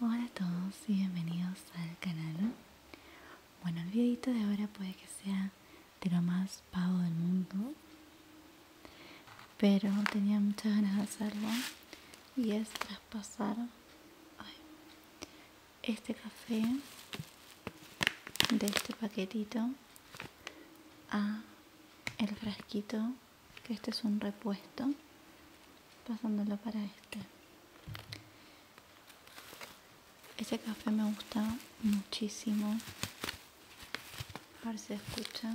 Hola a todos y bienvenidos al canal Bueno, el videito de ahora puede que sea de lo más pavo del mundo Pero tenía muchas ganas de hacerlo Y es traspasar este café de este paquetito a el frasquito que este es un repuesto pasándolo para este ese café me gusta muchísimo a ver si escucha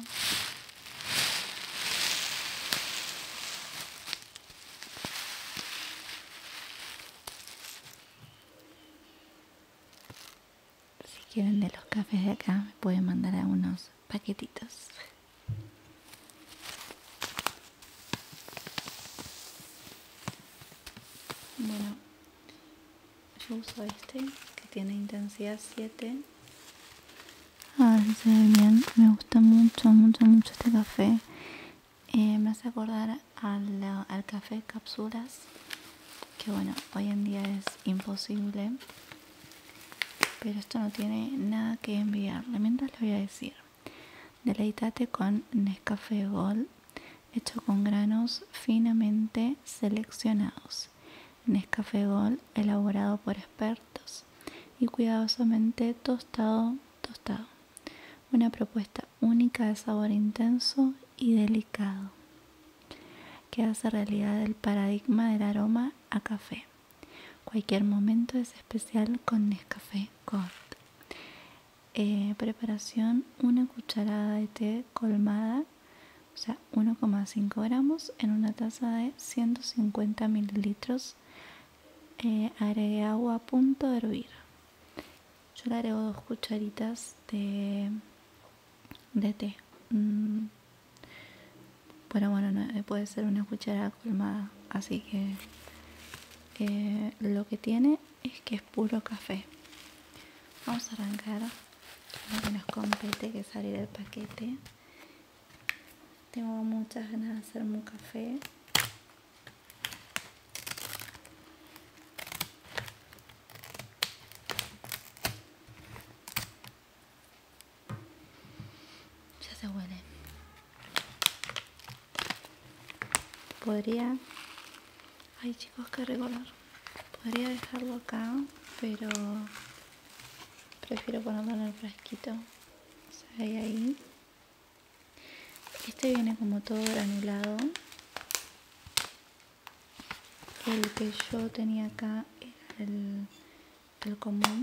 si quieren de los cafés de acá me pueden mandar algunos paquetitos. Bueno, yo uso este que tiene intensidad 7. A ver si se ve bien. Me gusta mucho, mucho, mucho este café. Eh, me hace acordar al, al café cápsulas, que bueno, hoy en día es imposible pero esto no tiene nada que enviar. Mientras lo voy a decir: deleitate con Nescafé Gold hecho con granos finamente seleccionados. Nescafé Gold elaborado por expertos y cuidadosamente tostado, tostado. Una propuesta única de sabor intenso y delicado que hace realidad el paradigma del aroma a café. Cualquier momento es especial con Nescafé Gold. Eh, preparación: una cucharada de té colmada, o sea, 1,5 gramos en una taza de 150 mililitros. Eh, agregué agua a punto de hervir. Yo le agrego dos cucharitas de, de té. Mm, pero bueno, eh, puede ser una cuchara colmada. Así que eh, lo que tiene es que es puro café. Vamos a arrancar lo que nos compete, que salir el paquete. Tengo muchas ganas de hacer un café. Ya se huele. Podría... Ay chicos, que recolor Podría dejarlo acá, pero prefiero ponerlo en el fresquito ahí, Este viene como todo granulado. El que yo tenía acá era el, el común.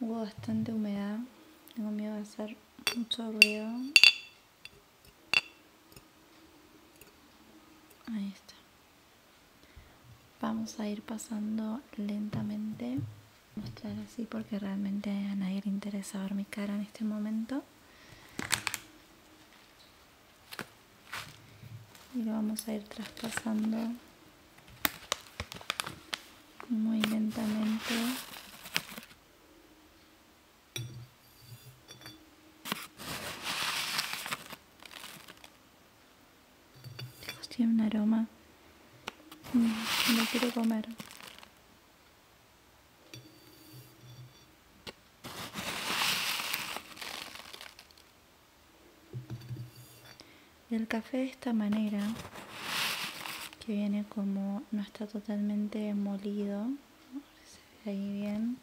Hubo bastante humedad. Tengo miedo de hacer mucho ruido. Ahí está. Vamos a ir pasando lentamente. Mostrar así porque realmente a nadie le interesa ver mi cara en este momento y lo vamos a ir traspasando muy lentamente tiene un aroma mm, no, quiero comer el café de esta manera, que viene como no está totalmente molido, ahí bien.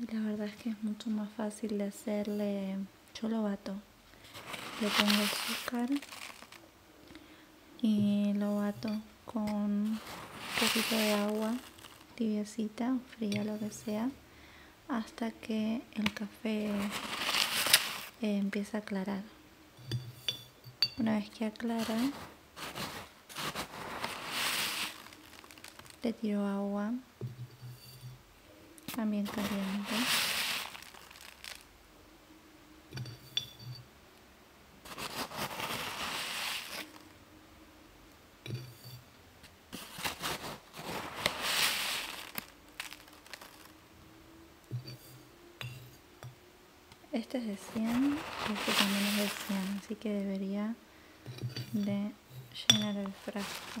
Y la verdad es que es mucho más fácil de hacerle, yo lo bato, le pongo azúcar y lo bato con un poquito de agua tibiacita, fría, lo que sea, hasta que el café eh, empieza a aclarar. Una vez que aclara, le tiro agua, también caliente. Este es de 100 y este también es de 100, así que debería de llenar el frasco.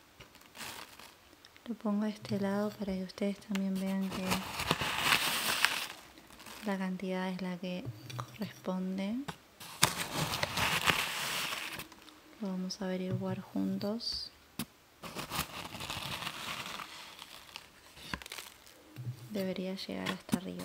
Lo pongo a este lado para que ustedes también vean que la cantidad es la que corresponde. Lo vamos a averiguar juntos. Debería llegar hasta arriba.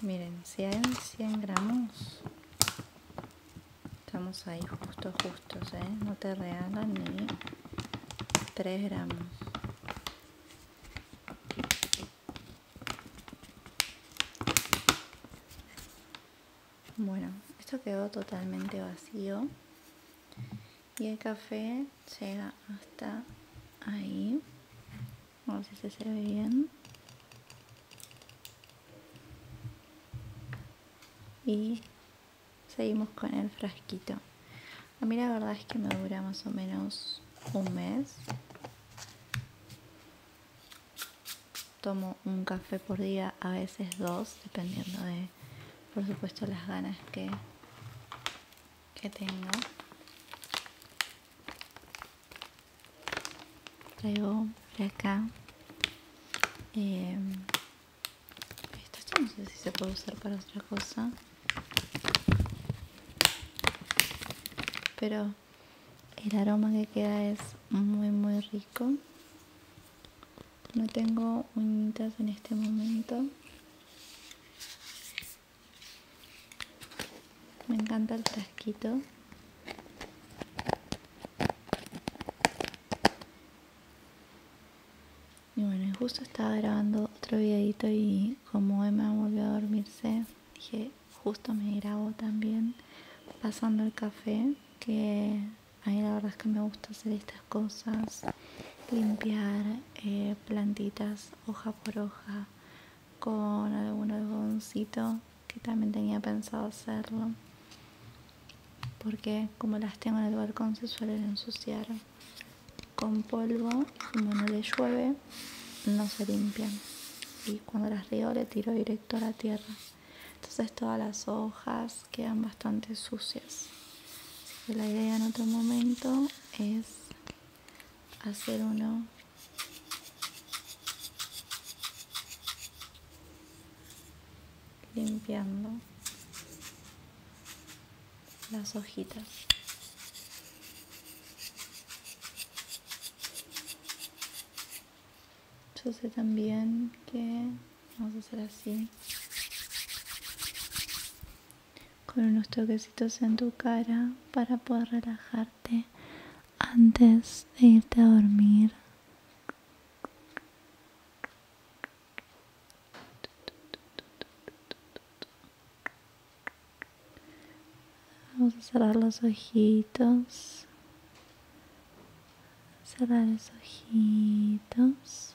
Miren, si hay 100 gramos. Estamos ahí justo, justo, ¿eh? No te regalan ni 3 gramos. Bueno, esto quedó totalmente vacío y el café llega hasta ahí a ver si se, se ve bien y seguimos con el frasquito a mí la verdad es que me dura más o menos un mes tomo un café por día a veces dos dependiendo de por supuesto las ganas que que tengo traigo por acá em, esto no sé si se puede usar para otra cosa pero el aroma que queda es muy muy rico no tengo uñitas en este momento me encanta el frasquito. Y bueno, justo estaba grabando otro videito y como Emma volvió a dormirse, dije, justo me grabo también pasando el café, que a mí la verdad es que me gusta hacer estas cosas, limpiar eh, plantitas hoja por hoja con algún algodoncito que también tenía pensado hacerlo porque como las tengo en el balcón se suelen ensuciar con polvo como no le llueve no se limpian y cuando las río le tiro directo a la tierra entonces todas las hojas quedan bastante sucias la idea en otro momento es hacer uno limpiando las hojitas. Yo sé también que vamos a hacer así con unos toquecitos en tu cara para poder relajarte antes de irte a dormir. Vamos a cerrar los ojitos. Cerrar los ojitos.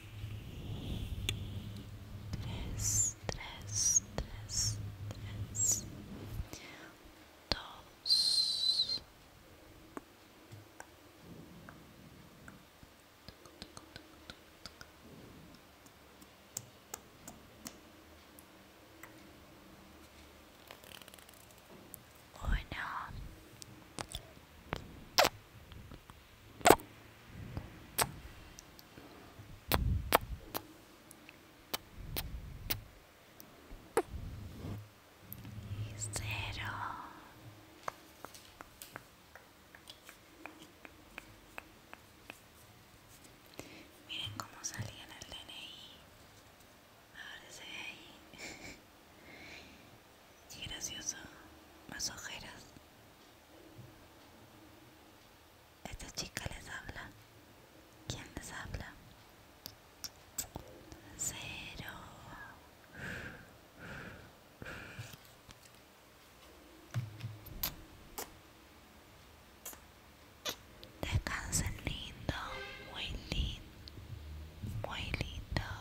tres, tres, tres, tres, dos, uno miren cómo salía en el DNI ahora se ve ahí qué gracioso más ojeras esta chica les habla. ¿Quién les habla? Cero. Descansen lindo, muy lindo, muy lindo.